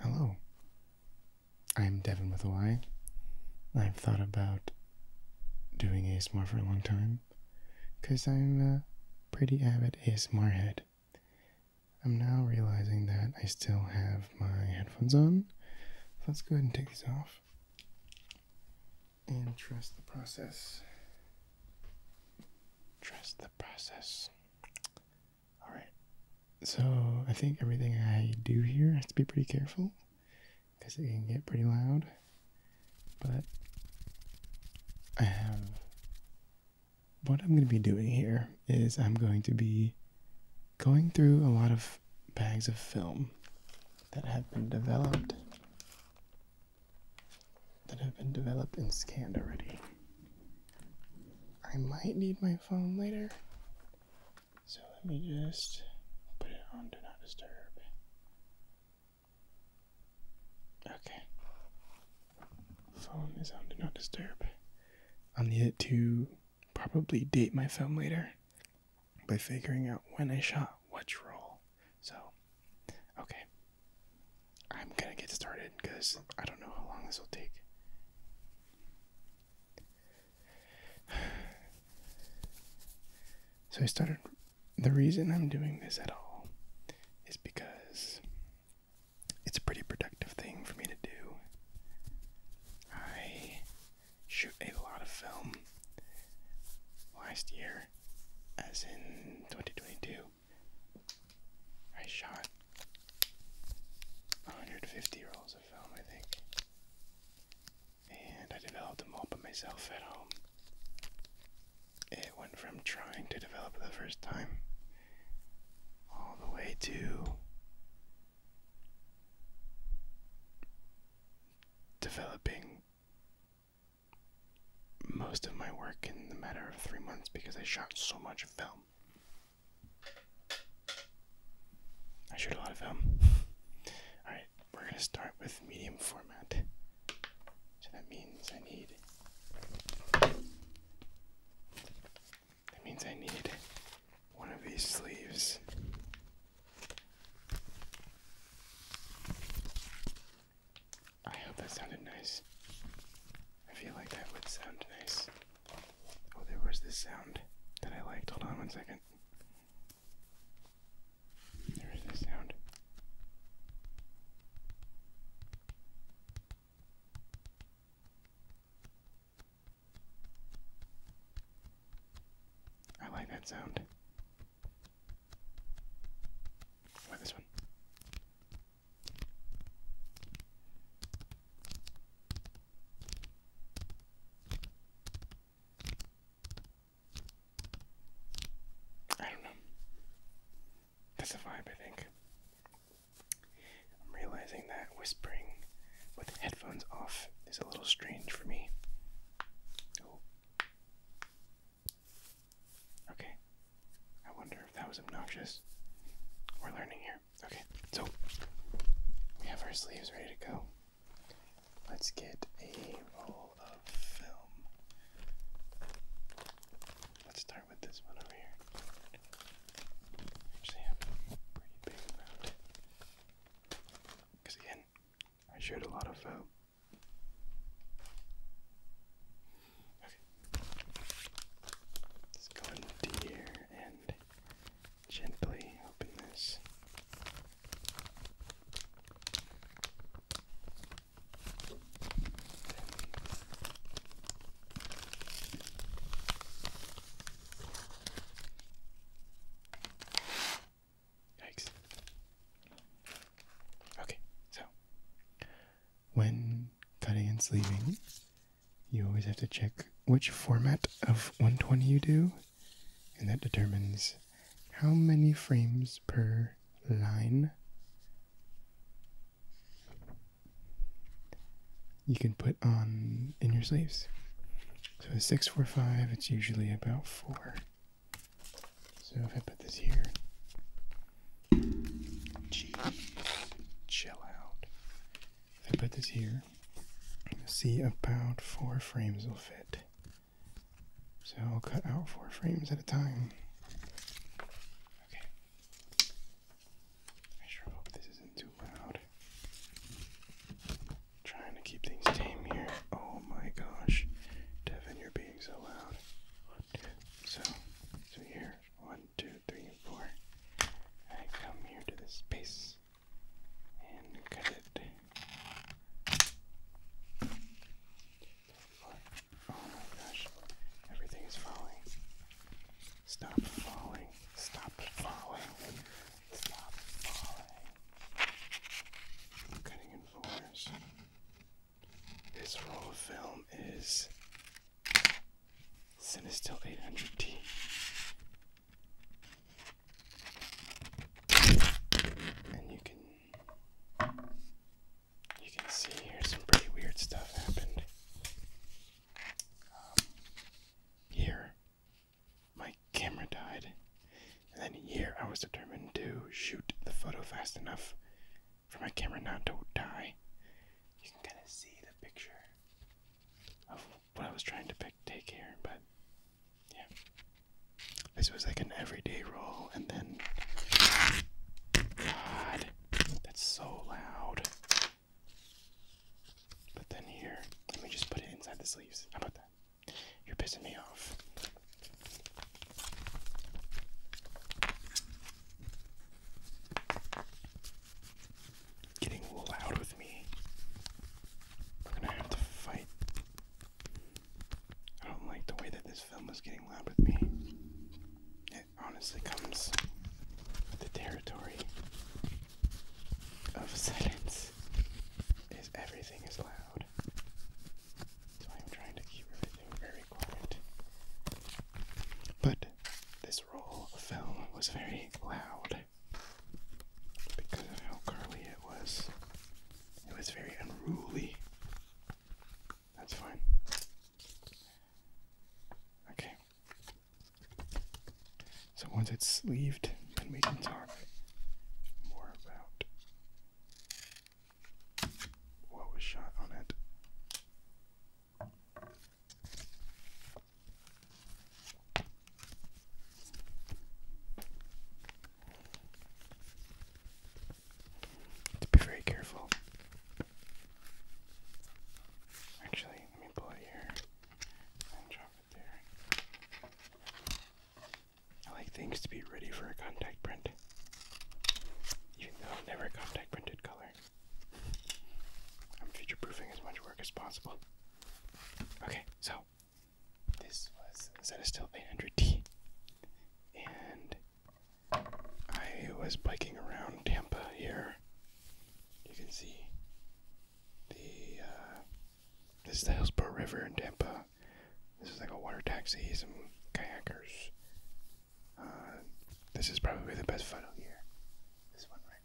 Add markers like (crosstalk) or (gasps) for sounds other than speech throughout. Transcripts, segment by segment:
Hello. I'm Devin with a Y. I've thought about doing ASMR for a long time because I'm a pretty avid ASMR head. I'm now realizing that I still have my headphones on. let's go ahead and take these off and trust the process. Trust the process. All right. So I think everything I do here has to be pretty careful because it can get pretty loud. But I have. What I'm going to be doing here is I'm going to be going through a lot of bags of film that have been developed that have been developed and scanned already I might need my phone later. So let me just put it on Do Not Disturb. Okay. Phone is on Do Not Disturb. i need it to probably date my film later by figuring out when I shot which role. So, okay. I'm gonna get started because I don't know how long this will take. So I started. The reason I'm doing this at all is because it's a pretty productive thing for me to do. I shoot a lot of film last year, as in 2022. I shot 150 rolls of film, I think. And I developed them all by myself at home. It went from trying to develop the first time all the way to developing most of my work in the matter of three months because I shot so much film. I shoot a lot of film. (laughs) Alright, we're going to start with medium format. So that means I need. That means I need one of these sleeves. I hope that sounded nice. I feel like that would sound nice. Oh, there was this sound that I liked. Hold on one second. There is this sound. I like that sound. Why this one? I don't know. That's a vibe, I think. I'm realizing that whispering with headphones off is a little strange for me. Okay. I wonder if that was obnoxious. We're learning here. Okay, so we have our sleeves ready to go. Let's get a roll of film. Let's start with this one over here. I actually have a pretty big amount. Because again, I showed a lot of film. Okay. Let's go into here gently open this. Yikes. Okay, so when cutting and sleeving, you always have to check which format of 120 you do, and that determines how many frames per line. You can put on in your sleeves. So a 645, it's usually about 4. So if I put this here. Jeez, chill out. I put this here. See, about four frames will fit. So I'll cut out four frames at a time. Okay. I sure hope this isn't too loud. trying to keep things tame here. Oh my gosh. Devin, you're being so loud. So, so here, one, one, two, three, I come here to this space and cut it. Oh my gosh, everything is falling. Stop falling. Stop falling. Stop falling. cutting in fours. This roll of film is Cinestill 800T. And you can you can see here some pretty weird stuff happened. Um, here, my camera died, and then here I was determined to shoot the photo fast enough for my camera not to die. You can kind of see the picture what I was trying to pick take here, but yeah. This was like an everyday roll, and then God, that's so loud. But then here, let me just put it inside the sleeves. How about that? You're pissing me off getting loud with me. We're gonna have to fight. I don't like the way that this film is getting loud with me. It honestly comes the territory of (laughs) silence. Is everything is loud. So I'm trying to keep everything very quiet. But this roll of film was very loud because of how curly it was. It was very unruly. That's fine. Okay. So once it's sleeved, then we can talk more about what was shot on it. To be very careful. Actually, let me pull it here and drop it there. I like things to be ready for a contact print, even though I've never contact printed color. I'm future proofing as much work as possible. Okay, so this was Zetastil 800T, and I was biking around Tampa here. You can see the uh, this is the Hillsborough River in Tampa. This is like a water taxi, some kayakers. Uh, this is probably the best photo here. This one right.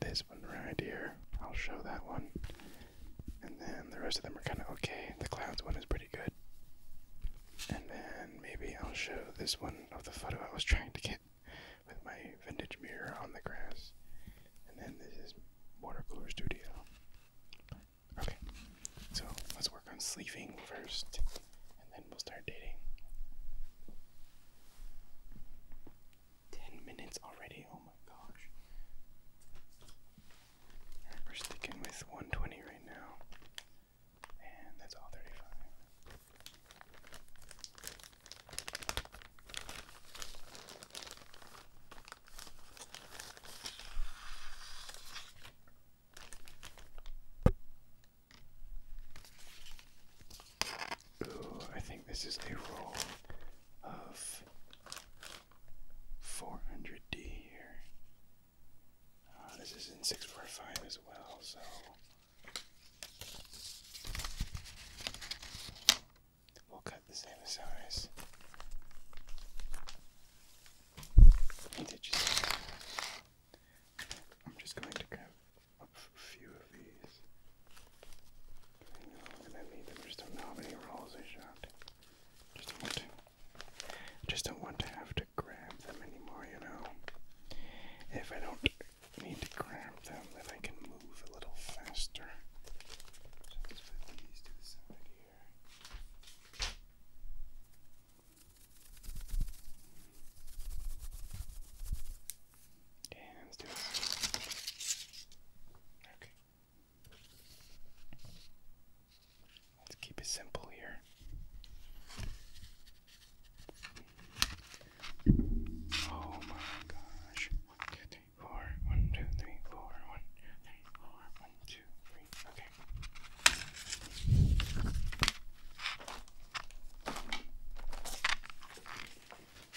This one right here. I'll show that one. And then the rest of them are kind of okay. The clouds one is pretty good. And then maybe I'll show this one of the photo I was trying to get with my vintage mirror on the grass. And then this is watercolor studio. Okay, so let's work on sleeving first, and then we'll start dating. 10 minutes already. Oh my gosh. we're sticking with 120 right now. And that's all 35. Ooh, I think this is a roll of 400D here. Uh, this is in 645 as well, so. We'll cut the same size. I'm just going to grab a few of these. I am gonna need them. just don't know how many rolls I shot. Just don't want to. Just don't want to have to grab them anymore. You know, if I don't need to grab them, then I can move a little faster. So put these to the side here. Okay, let's do this. Okay. Let's keep it simple here. Oh my gosh. four. One, two, three, four. One, two, three, four. One, two, three. Okay.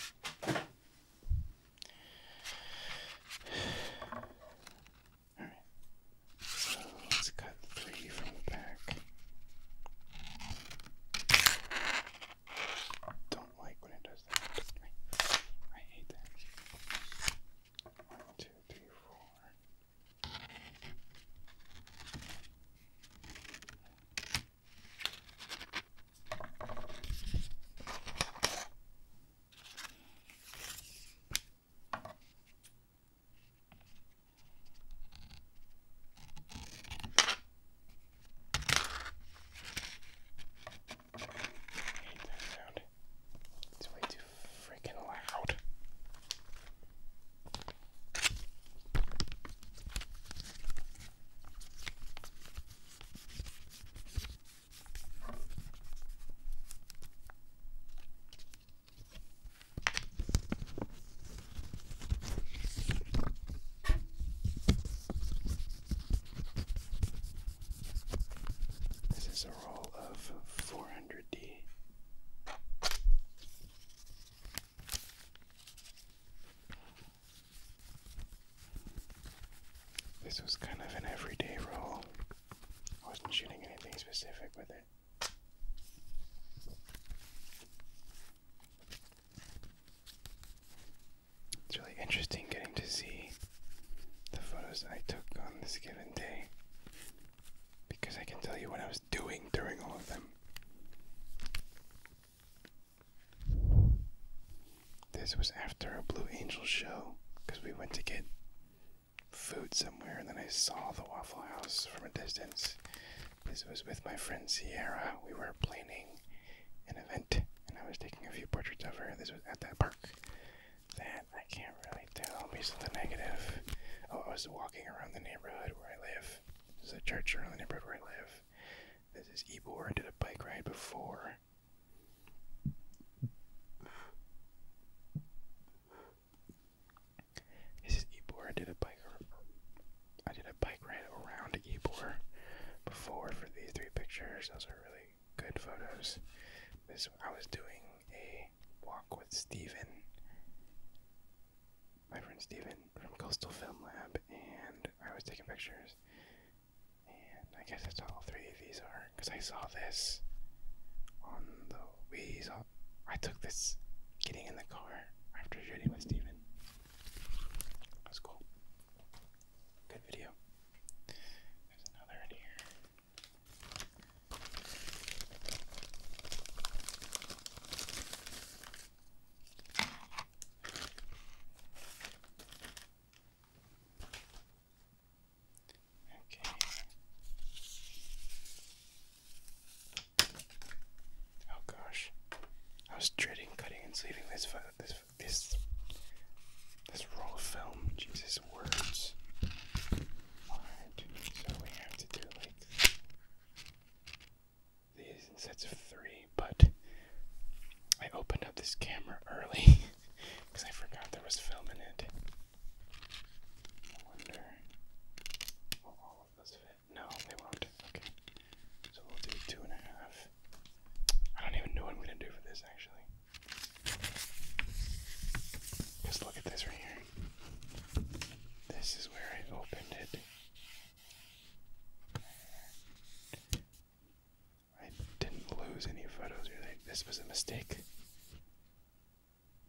All right. So let's cut three from the back. Don't like when it does that. I hate that. One, two, three, four hate that sound. It's way too freaking loud. This is a roll of four hundred D. This was kind of an everyday roll. I wasn't shooting anything specific with it. It's really interesting getting to see the photos I took on this given day because I can tell you what I was doing during all of them. This was after a Blue Angel show because we went to get food somewhere and then I saw the Waffle House from a distance. This was with my friend Sierra. We were planning an event and I was taking a few portraits of her. This was at that park. That I can't really tell based something negative. Oh, I was walking around the neighborhood where I live. There's a church around the neighborhood where I live. This is Ebor. I did a bike ride before. This is Ebor. I did a bike. I did a bike ride around Ebor before for these three pictures. Those are really good photos. This I was doing a walk with Stephen, my friend Stephen from Coastal Film Lab, and I was taking pictures. And I guess that's all three of these are, because I saw this on the Wii. I took this getting in the car after shooting with Steven. That was cool. Good video. There's another in here. Okay. Oh gosh, I was dreading cutting and sleeving this this this this roll of film. Jesus words. Alright, so we have to do like these in sets of three, but I opened up this camera early because (laughs) I forgot there was film in I wonder will all of those fit? No, they won't. Okay. So we'll do two and a half. I don't even know what I'm gonna do for this actually. Just look at this right here. This is where I opened it. I didn't lose any photos Really, This was a mistake.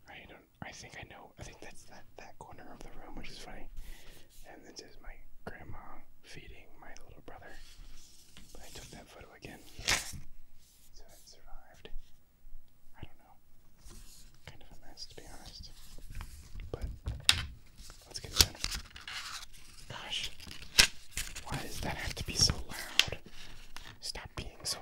I don't. I think I know. I think that's that that corner of the room, which is funny. And this is my grandma feeding my little brother. I took that photo again, so it survived. I don't know. Kind of a mess, to be honest. But Let's get that. Gosh. Why does that have to be so loud? Stop being so loud.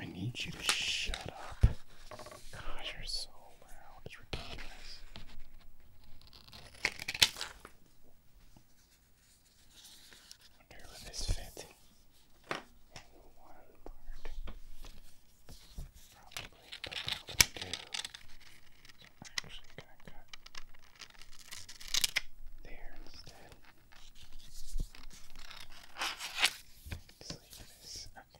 I need you to shut up. God, you're so loud. It's ridiculous. Wonder will this fit in one part. Probably, but I'm actually gonna cut there instead. Just leave this. Okay.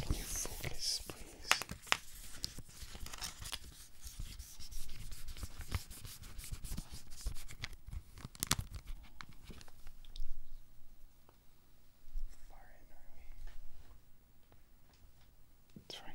Can you focus, please? Far in, are we? That's right.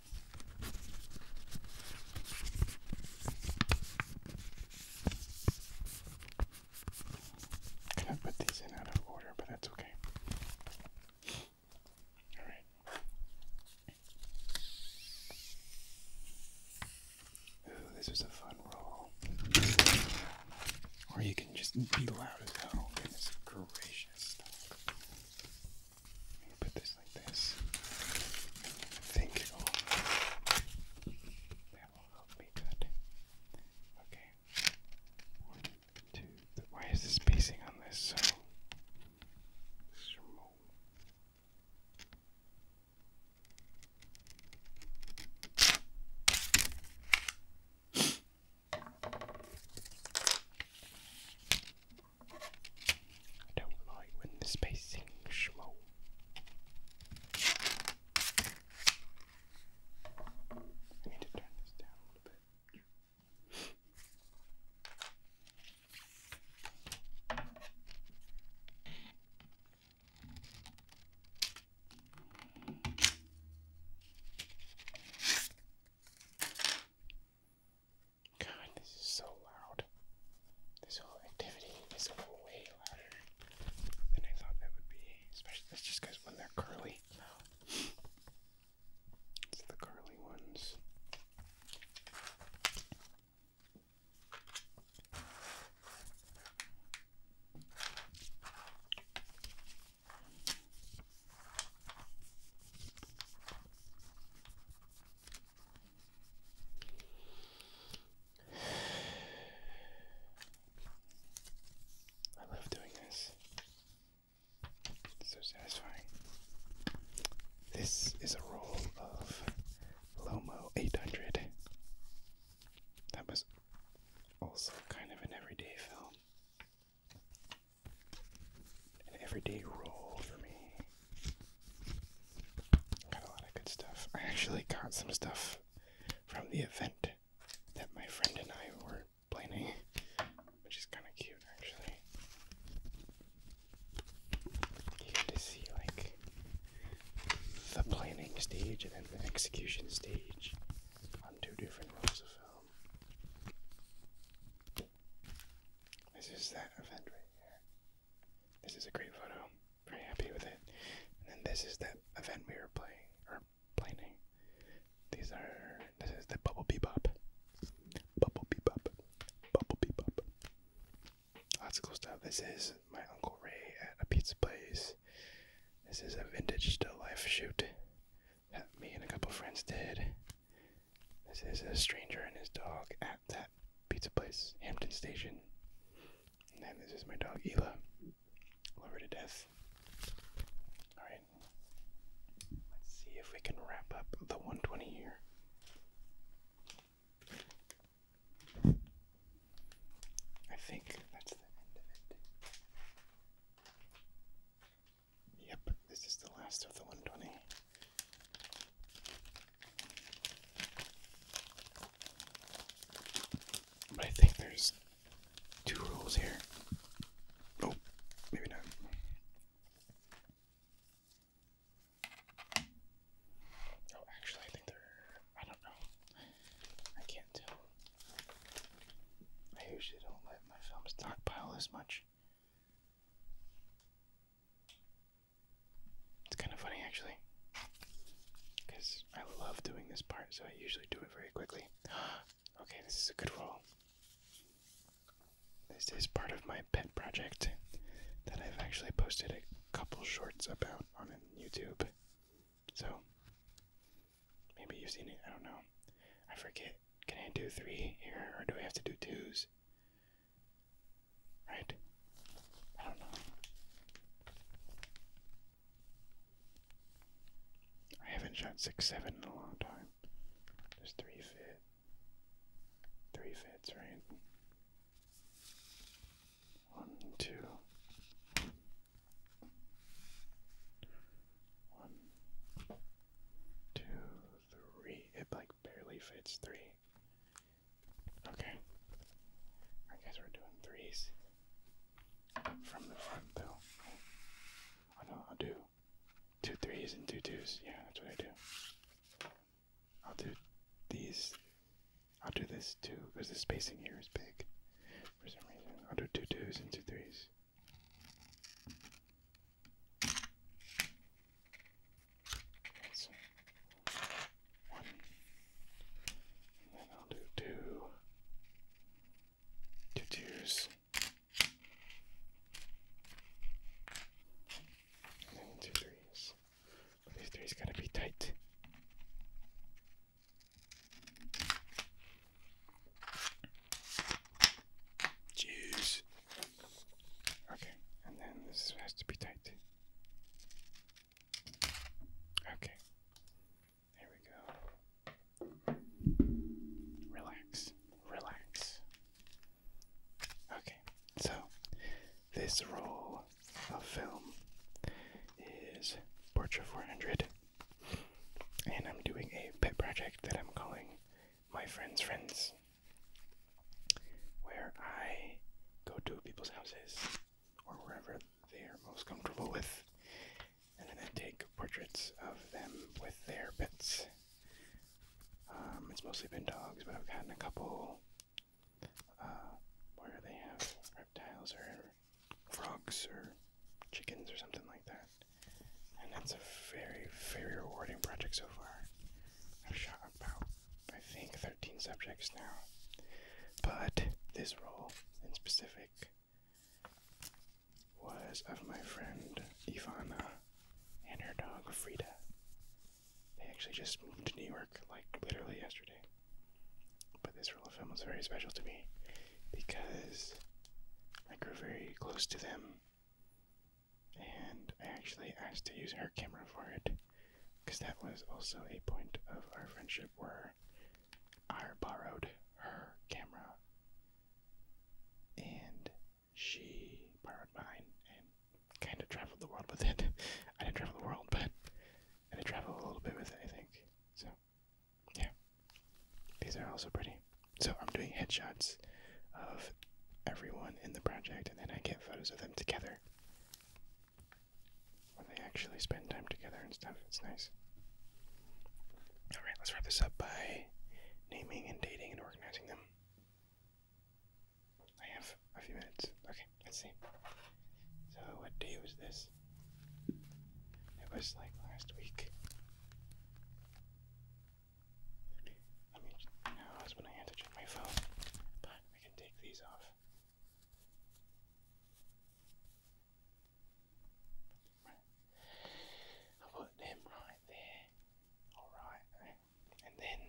going put these in out of order, but that's okay. All right. Ooh, this is a fun roll. Or you can just be loud as hell. Goodness gracious. Put this like this. I think it will, that will help me cut. Okay. One, two, three. Why is the spacing on this so small? I don't like when the spacing schmoll. I need to turn this down a little bit. God, this is so loud. This whole activity is way louder than I thought that would be. Especially this just because when they're curly. It's the curly ones. I love doing this. so satisfying. This is a roll of Lomo 800. That was also kind of an everyday film. An everyday roll for me. Got a lot of good stuff. I actually got some stuff from the event that my friend and I were planning, which is kind of cute actually. You get to see like the planning stage and then the execution stage on two different rolls of film. This is that event right here. This is a great photo. Very happy with it. And then this is that event we were playing or planning. These are this is the bubble bebop. Bubble bebop. Bubble bebop. Lots of cool stuff. This is my Uncle Ray at a pizza place. This is a vintage still life shoot that me and a couple friends did. This is a stranger and his dog at that pizza place, Hampton Station. And this is my dog, Ela. Love her to death. Alright. Let's see if we can wrap up the 120 here. I think that's the end of it. Yep, this is the last of the 120. But I think there's two rules here. Oh, maybe not. Oh, actually, I think they I don't know. I can't tell. I usually don't let my film pile as much. It's kind of funny actually, because I love doing this part, so I usually do it very quickly. (gasps) okay, this is a good roll. This is part of my pet project that I've actually posted a couple shorts about on YouTube. So maybe you've seen it, I don't know. I forget. Can I do three here or do I have to do twos? Right? I don't know. I haven't shot six seven in a long time. There's three fit. Three fits, right? One, two. One, two, three. Hit by barely fits three. Okay. I guess we're doing threes. From the front though. Oh I'll do two threes and two twos. Yeah, that's what I do. I'll do these. I'll do this too, because the spacing here is big for some reason. I'll do two twos and two threes. So one, and then I'll do two, two and then two threes. got gotta be tight. Jeez. Okay, and then this has to be tight. Okay. There we go. Relax. Relax. Okay. So, this roll of film is Portrait 400. And I'm doing a pet project that I'm calling My Friend's Friends where I go to people's houses or wherever they are most comfortable with, and then I take portraits of them with their pets. Um, it's mostly been dogs, but I've gotten a couple uh, where they have reptiles or frogs or chickens or something like that. And that's a very, very rewarding project so far. I've shot about I think, 13 subjects now. But this role in specific was of my friend Ivana and her dog Frida. They actually just moved to New York like literally yesterday. But this role of them was very special to me because I grew very close to them and I actually asked to use her camera for it because that was also a point of our friendship where I borrowed her camera and she borrowed mine and kind of traveled the world with it. (laughs) I didn't travel the world, but I did travel a little bit with it, I think. So, yeah. These are also pretty. So, I'm doing headshots of everyone in the project and then I get photos of them together. When they actually spend time together and stuff. It's nice. Alright, let's wrap this up by naming and dating and organizing them. I have a few minutes. Okay, let's see. So, what day was this? It was like last week. I mean, no, when I had my phone. But I can take these off. I put them right there. Alright. And then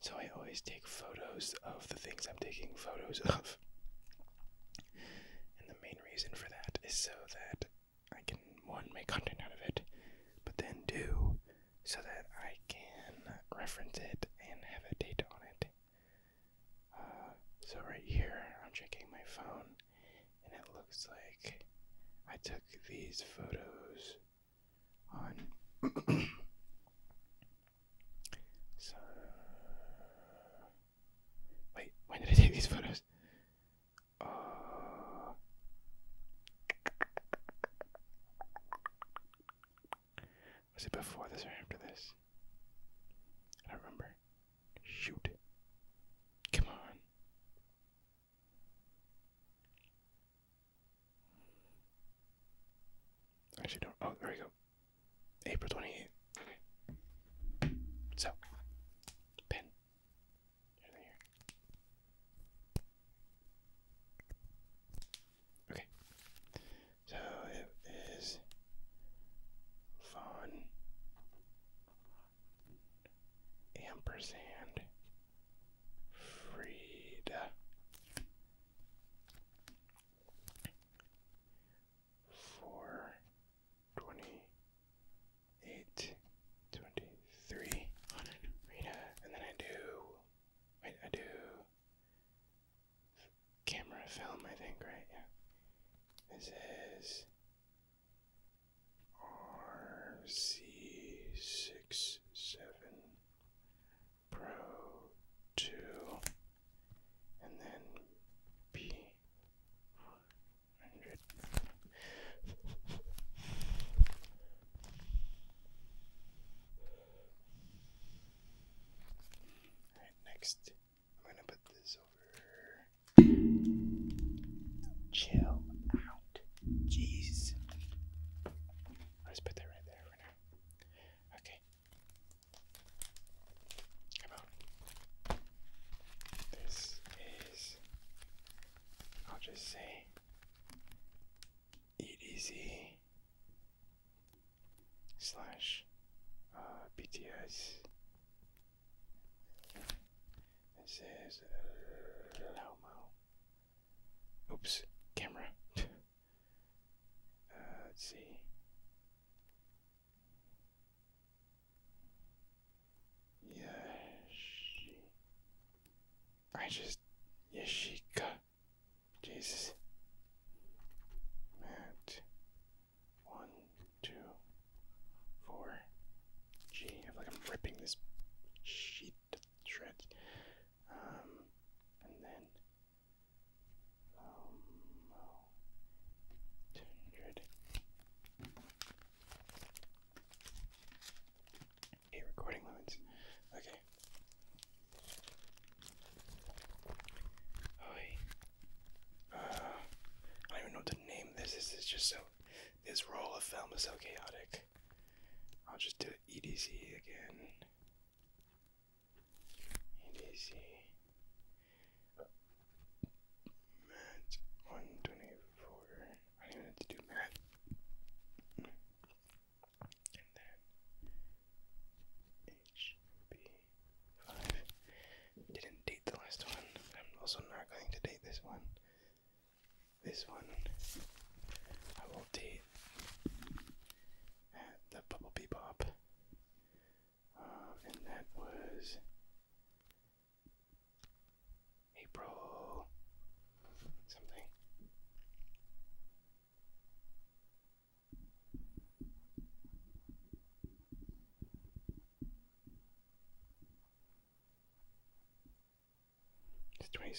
So I always take photos of the things I'm taking photos of main reason for that is so that I can, one, make content out of it, but then two, so that I can reference it and have a date on it. Uh, so right here, I'm checking my phone, and it looks like I took these photos on. (coughs) Wait, when did I take these photos? Uh, was it before this or after this? I don't remember. Shoot. Come on. Actually, don't. Oh, there we go. April 28th. So, pen. Okay. So it is Von Ampersand Frida four, twenty eight, twenty three on and then I do. Wait, I do camera film. I think right, yeah. This is RC six seven Pro two and then B hundred. Alright, next I'm gonna put this over chill out. Jeez. I'll put that right there for now. Okay about this is I'll just say EDZ slash uh, BTS. It says Lomo. Oops, camera. let's see. Yashi. I just. Yashika. Jesus. Matt. One, two, four. Gee, I like I'm ripping this sheet to shreds. Um, and then hundred. Hey, recording limits. Okay. Oh, Uh, I don't even know what to name this. This is just so. This roll of film is so chaotic. I'll just do EDC again. EDC. Math 124. I do to do math. And then HB5. Didn't date the last one. I'm also not going to date this one. This one I will date at the Bubble Bebop and that was April something. It's twenty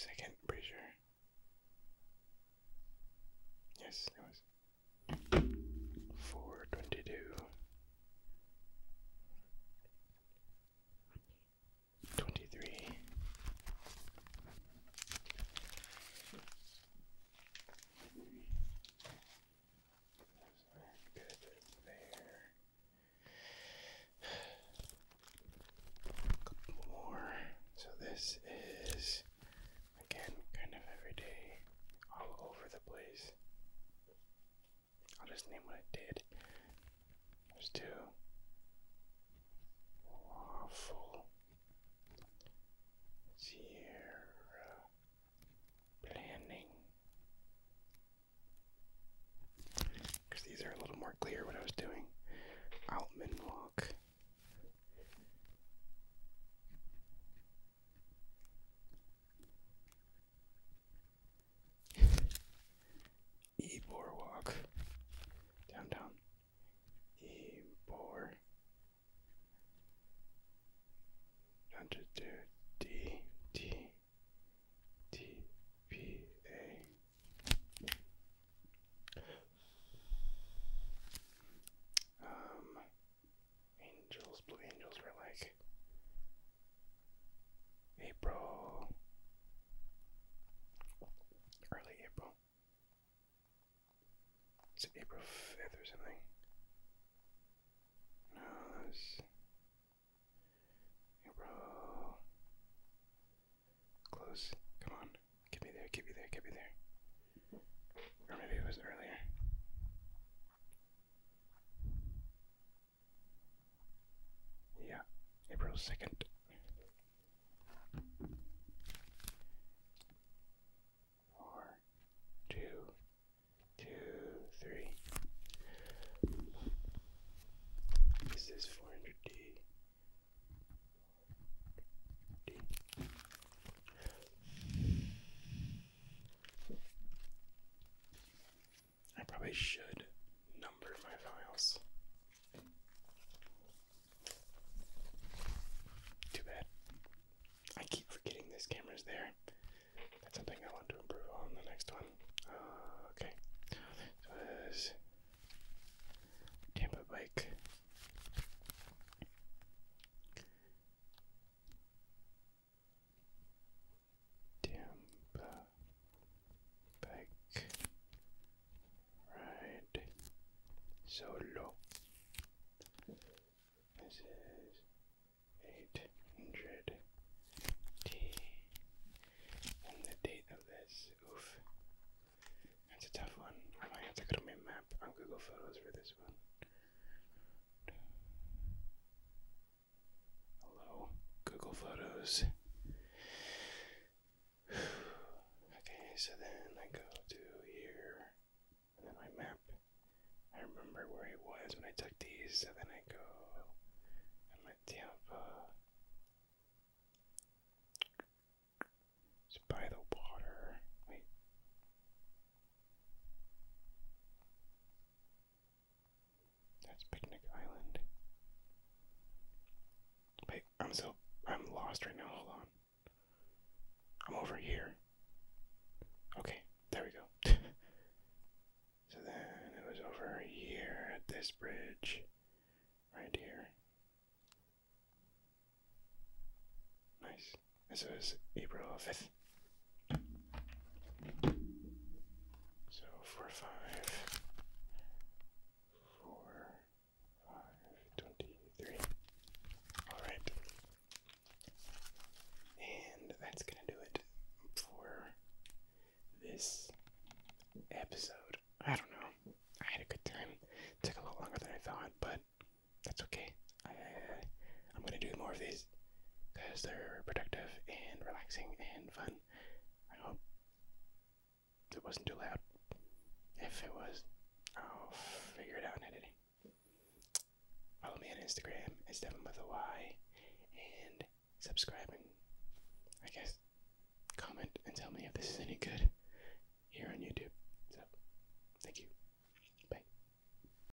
pretty sure. Yes, it was. Four twenty two, twenty three, good there. couple more. So this is again, kind of every day, all over the place. I'll just name what I did. There's two waffle zero planning. Because these are a little more clear what I was doing. Altman walk e Boardwalk. Downtown. E Down to do D T T P A. Um. Angels, Blue Angels were like April, early April. It's April 5th or something. No, it's April. Close. Come on. Get me there, get me there, get me there. Or maybe it was earlier. Yeah, April 2nd. Four, two, two, three. This is 400D. d I probably should number my files. Too bad. I keep forgetting this camera's there. That's something I want to improve on the next one. Uh, okay. So this Tampa bike. Tampa bike ride solo. This is eight hundred T, and the date of this. Oof, that's a tough one. I might have to go to my map on Google Photos for this one. Hello, Google Photos. (sighs) okay, so then I go to here, and then my map. I remember where it was when I took these, so then I go. i my at Tampa. It's by the water. Wait. That's Picnic Island. Wait, I'm so I'm lost right now. Hold on. I'm over here. Okay, there we go. (laughs) so then it was over here at this bridge. Right here. Nice. This was April 5th. So four, five, four, five, twenty-three. All right, and that's gonna do it for this episode. I don't know. I had a good time. took a lot longer than I thought, but that's okay. I, am gonna do more of these because they're productive and relaxing and fun. I hope it wasn't too loud. If it was, I'll figure it out in editing. Follow me on Instagram, it's Devin with a Y, and subscribe and I guess comment and tell me if this is any good here on YouTube. So, thank you. Bye.